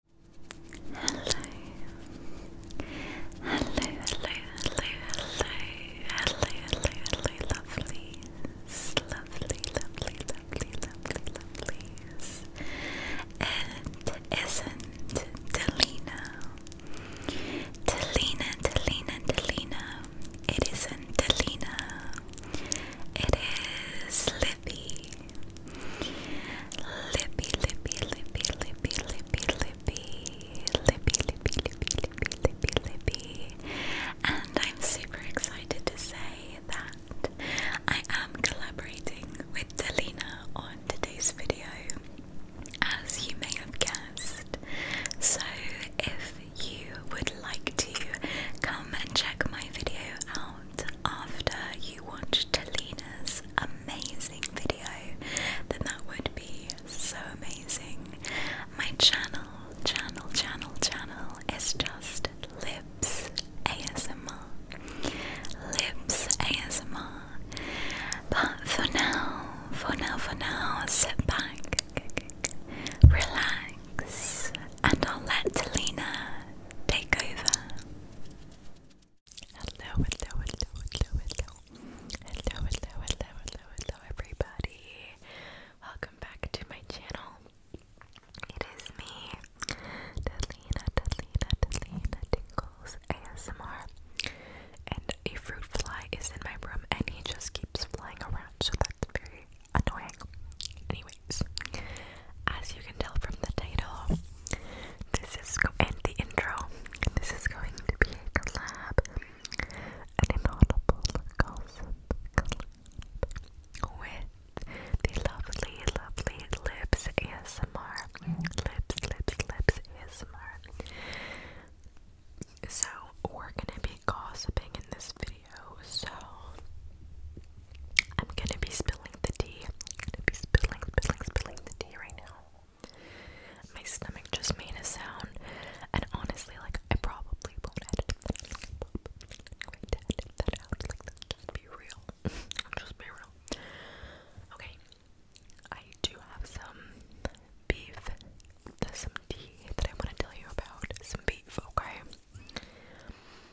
Hello. Hello, hello, hello, hello, hello, hello, hello, lovelies. Lovely, lovely, lovely, lovely, lovelies. It isn't Delina. Delina, Delina, Delina. It isn't Delina. It is Libby. Lippy, lippy, lippy, lippy, lippy, lippy, lippy, lippy, lippy, lippy, lippy, lippy. And I'm super excited to say that I am collaborating with Delina on today's video, as you may have guessed. So if you would like to come and check my video out after you watch to Talina's amazing video, then that would be so amazing. My channel, channel, channel, channel is just Lips ASMR. Lips ASMR. But for now, for now, for now, sit back, relax, and I'll let Talina take over. Hello, hello, hello, hello, hello. Hello, hello, hello, hello, everybody. Welcome back to my channel. It is me, Delina, Delina, Delina Tingles ASMR. And a fruit fly is in my room and he just keeps flying around, so that's very annoying. Anyways, as you can tell from the title, this is go and the intro. This is going to be a collab, an inaudible gossip with the lovely, lovely Lips ASMR. Lips, lips, lips ASMR. So we're gonna be gossiping in this video. So I'm gonna be spilling the tea. I'm gonna be spilling, spilling, spilling the tea right now. My stomach just made a sound, and honestly, like, I probably won't edit that. to edit that out. Like, let just be real. just be real. Okay, I do have some beef. There's some tea that I want to tell you about. Some beef, okay?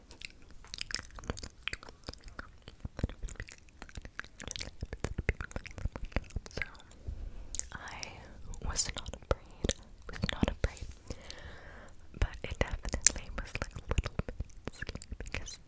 So I was not afraid. Was not afraid. But it definitely was like a little bit scary because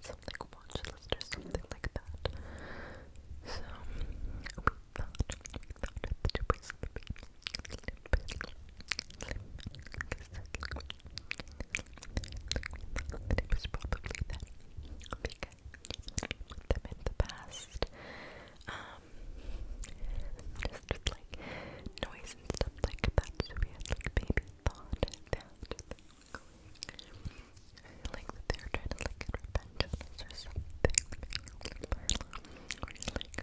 Something watch or something like that. So it was probably them because you the past. Um, just like noise and stuff like that. So we had thought that. like they were trying to like get or something. Or like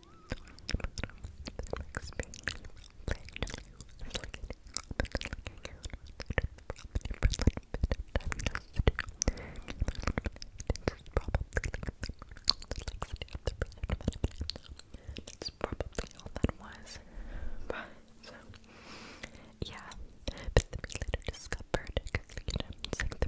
That's probably all that was. But, so, yeah. But then we later discovered, because, you know, it's like the.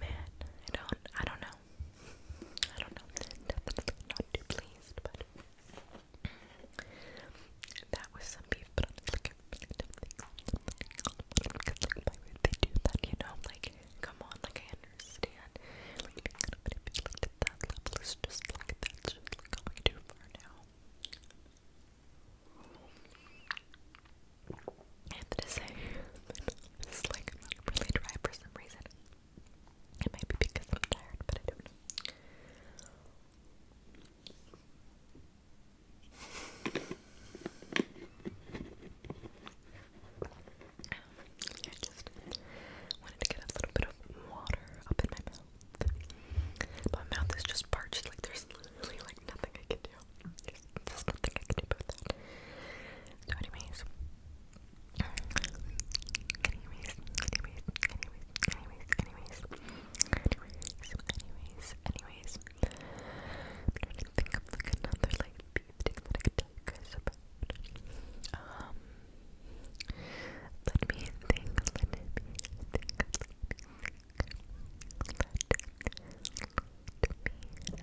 Man, I don't I don't know. I don't know. not too pleased, but that was some beef, but they do that, you know? Like, come on, like I understand. Like being manipulated at that level is just like that's just going too far now. I have to say, it's like really dry for some reason. It might be because I'm tired, but I don't um, I just wanted to get a little bit of water up in my mouth. My mouth is just parched, like there's literally like nothing I can do. anyways. Anyways, anyways, anyways, anyways, anyways, anyways, anyways. I'm think of another like beef that I could tell you guys about. Um, Let me think. Let me think. Let me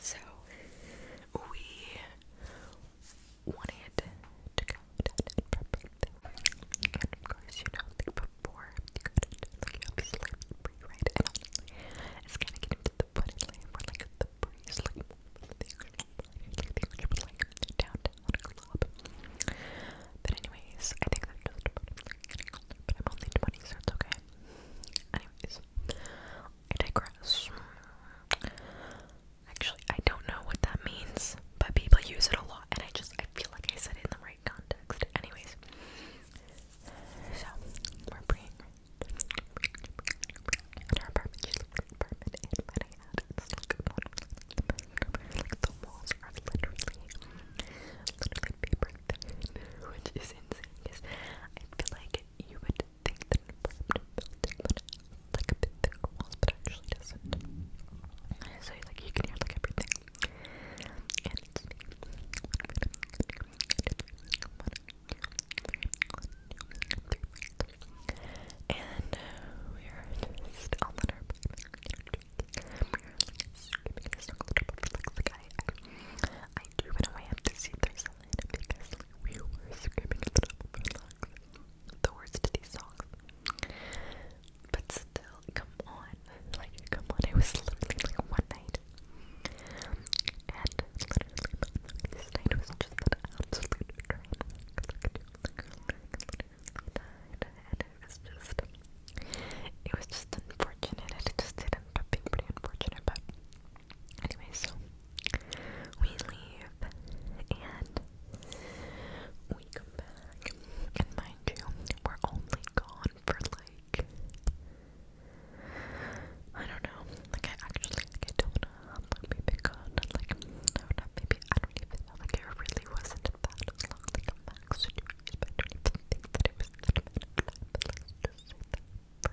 So we wanted to go down and of course, you know, before you go to like obviously pre it's kinda getting to the point where like the breeze like things like downtown club. But anyways, I think that's just about it. But I'm only 20, so it's okay. Anyways, I digress. Actually, I don't know what that means, but people use it a lot, and I just I feel like I said it in the right context. Anyways, so we're praying. our apartment, she's in an it's like the walls are literally, literally paper which is insane. Because I feel like you would think that an like a bit thicker walls, but actually doesn't. So like you can hear like everything. And uh, we are just on the nerve. I, do in a way have to Carolina we were screaming at the top the words to these songs. But still, come on. Like, come on. It was literally like one night. And this night was just it was just, unfortunate. And it just did end up being pretty unfortunate. But Anyway, so we leave and we come back. And mind you, we're only gone for like I don't know. Like I actually I don't maybe gone like I do maybe I don't even know like it really wasn't that long like max don't even think that it was that bad.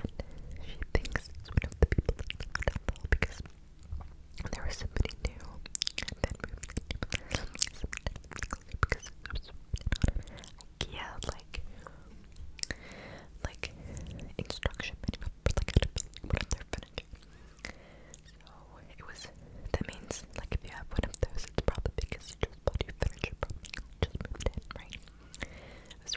and she thinks it's one of the people in the hotel because there was somebody new and then moved in because it was IKEA like like instruction manual for like how to build one of their furniture. So it was that means like if you have one of those it's probably because you just bought your furniture from just moved in, right? It was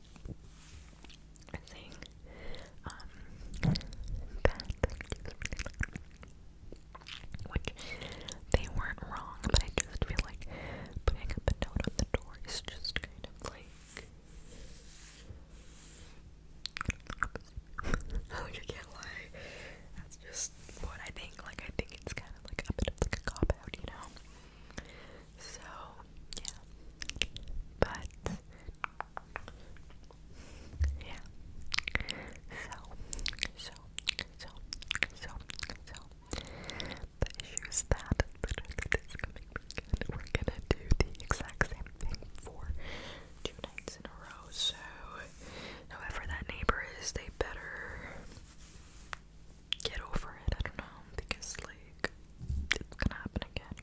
thing um, which they weren't wrong, but I just feel like putting up a note on the door is just kind of like oh, you can't lie. That's just what I think. Like, I think it's kind of like a bit of like a cop out, you know? So, yeah. But yeah. So, so, so, so, so. The issues that literally this coming weekend, we're gonna do the exact same thing for two nights in a row. So, however that neighbor is, they better get over it. I don't know because like it's gonna happen again.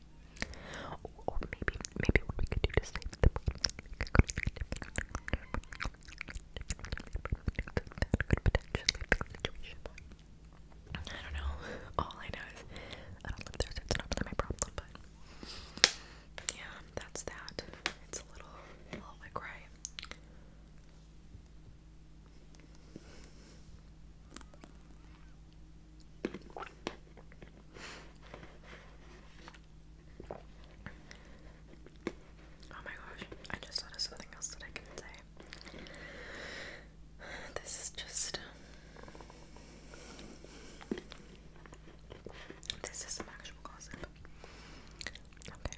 Or maybe, maybe what we could do to save them. That could potentially fix the situation. I don't know. All I know is I don't live there, so it's not really my problem. But yeah, that's that. It's a little, a little like right. Oh my gosh, I just thought of something else that I can say. This is just. Um, this is some actual gossip. Okay.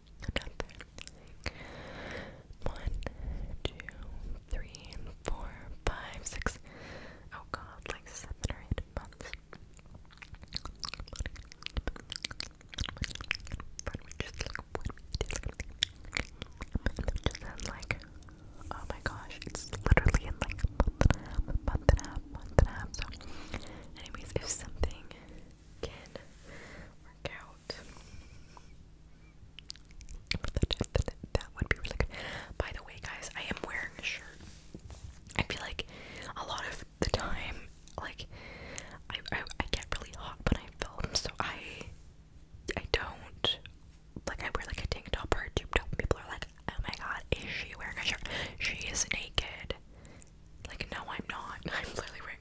another. One, two, three, four, five, six. Oh god, like seven or eight months. just like oh my gosh, it's literally in like a month and a month and a half, month and a half. So, anyways, if something can out. that, would be really good. By the way, guys, I am wearing a shirt. I feel like a lot of the time, like, I, I, I get really hot when I film, so I, I don't, like, I wear, like, a tank top or a tube top, people are like, oh my god, is she wearing a shirt? She is naked. Like, no, I'm not. I'm literally wearing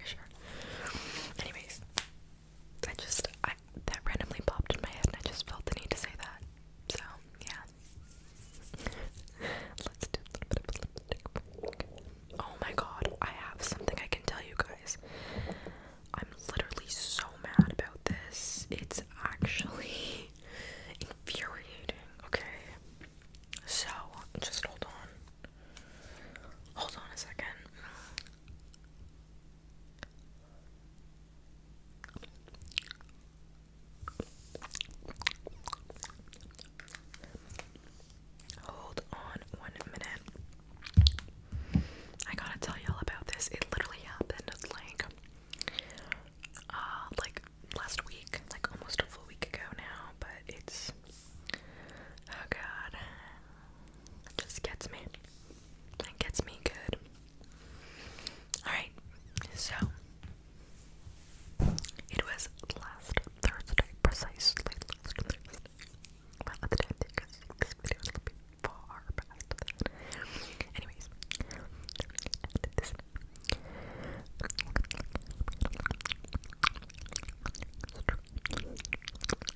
Anyways, I just, I, that randomly popped in my head and I just felt the need to say that. So, yeah. Let's do Oh my god, I have something I can tell you guys. I'm literally so mad about this. It's actually infuriating, okay? So, just hold on. Hold on a second. Hold on one minute. I gotta tell y'all about this. It literally happened like uh, like last week, like almost a full week ago now, but it's Oh god. It just gets me. It gets me good. Alright, so it was last Thursday, precisely last Thursday. this video is a little bit far past Anyways,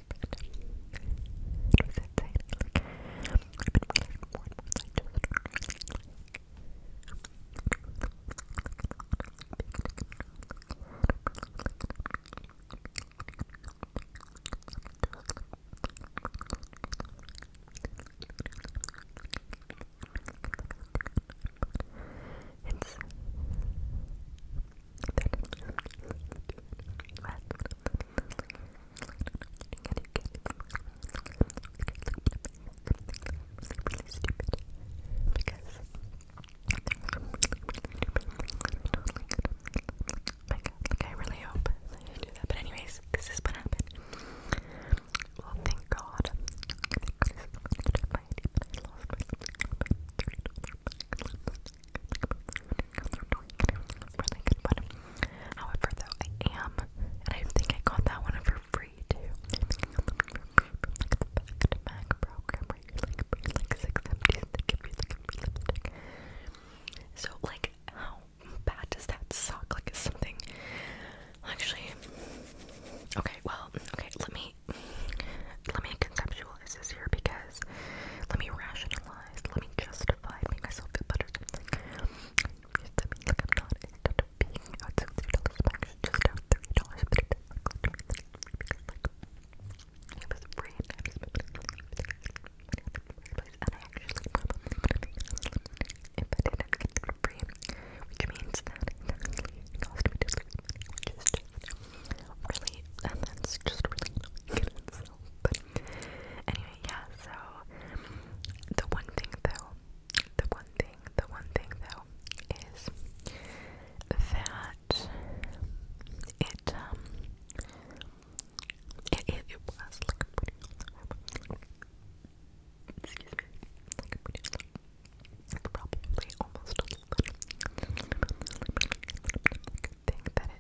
It was insane. Like, I've been playing more and more like just it's I really because I really hope that you do that. But anyways, this is what Well, thank God really good one. However, though, I am, and I think I got that one for free too. So, like, how bad does that suck? Like, is something actually okay? Well, okay, let me let me conceptualize this here because let me rationalize. Let me justify and myself feel better. Just to be like I'm not instead of being out sixty dollars max, just out dollars, but it doesn't cost me anything because like was free I just spent it on And I actually if I didn't get it for free, which means that it cost me just really and that's just really but anyway, yeah, so the one thing though, the one thing, the one thing though is that it um it it, was like excuse me probably almost a little thing that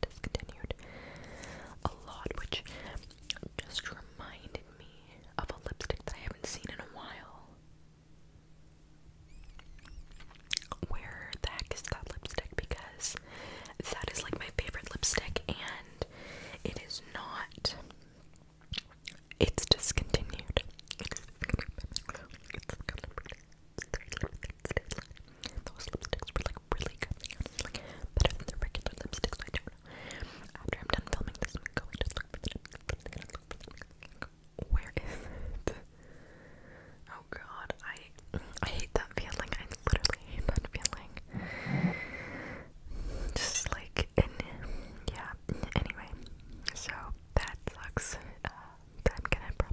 discontinued a lot, which just reminded me of a lipstick that I haven't seen in a while. Where the heck is that lipstick? Because that is like my favorite lipstick, and it is not. It's discontinued. Those lipsticks were like really good. better than the regular lipsticks I After I'm done filming this, Where is it? Oh god, I I hate that feeling. I literally hate that feeling. Just like in yeah. Anyway, so that sucks. Uh, to probably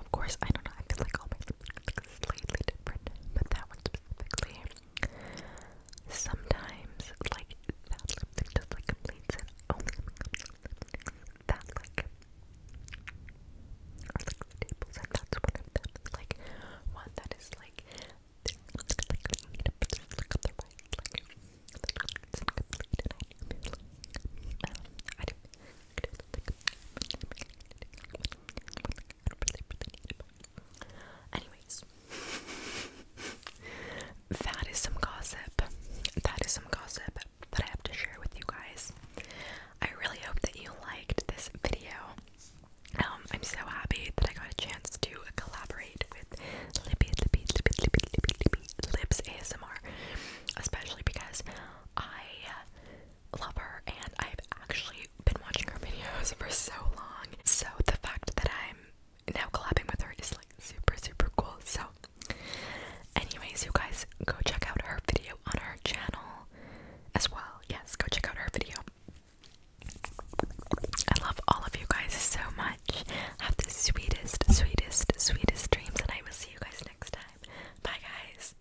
Of course, I don't know. I feel like all my lipsticks are slightly different, but that one specifically. Sometimes, like just like completes it. Only that like are like the tables, and that's one of them. Like one that is like it's incomplete, Anyways, that is some gossip. That is some gossip that I have to share with you guys. I really hope that you liked this video. Um, I'm so happy that I got a chance to collaborate with Libby, Libby, Libby, Libby, Libby, Libby, Libs ASMR, especially because I love her and I've actually been watching her videos for so long. So the fact that I'm now collabing with her is like super super cool. So anyways, you guys go check out her video on her channel as well. Yes, go check out her video. I love all of you guys so much. Have the sweetest, sweetest, sweetest dreams and I will see you guys next time. Bye guys.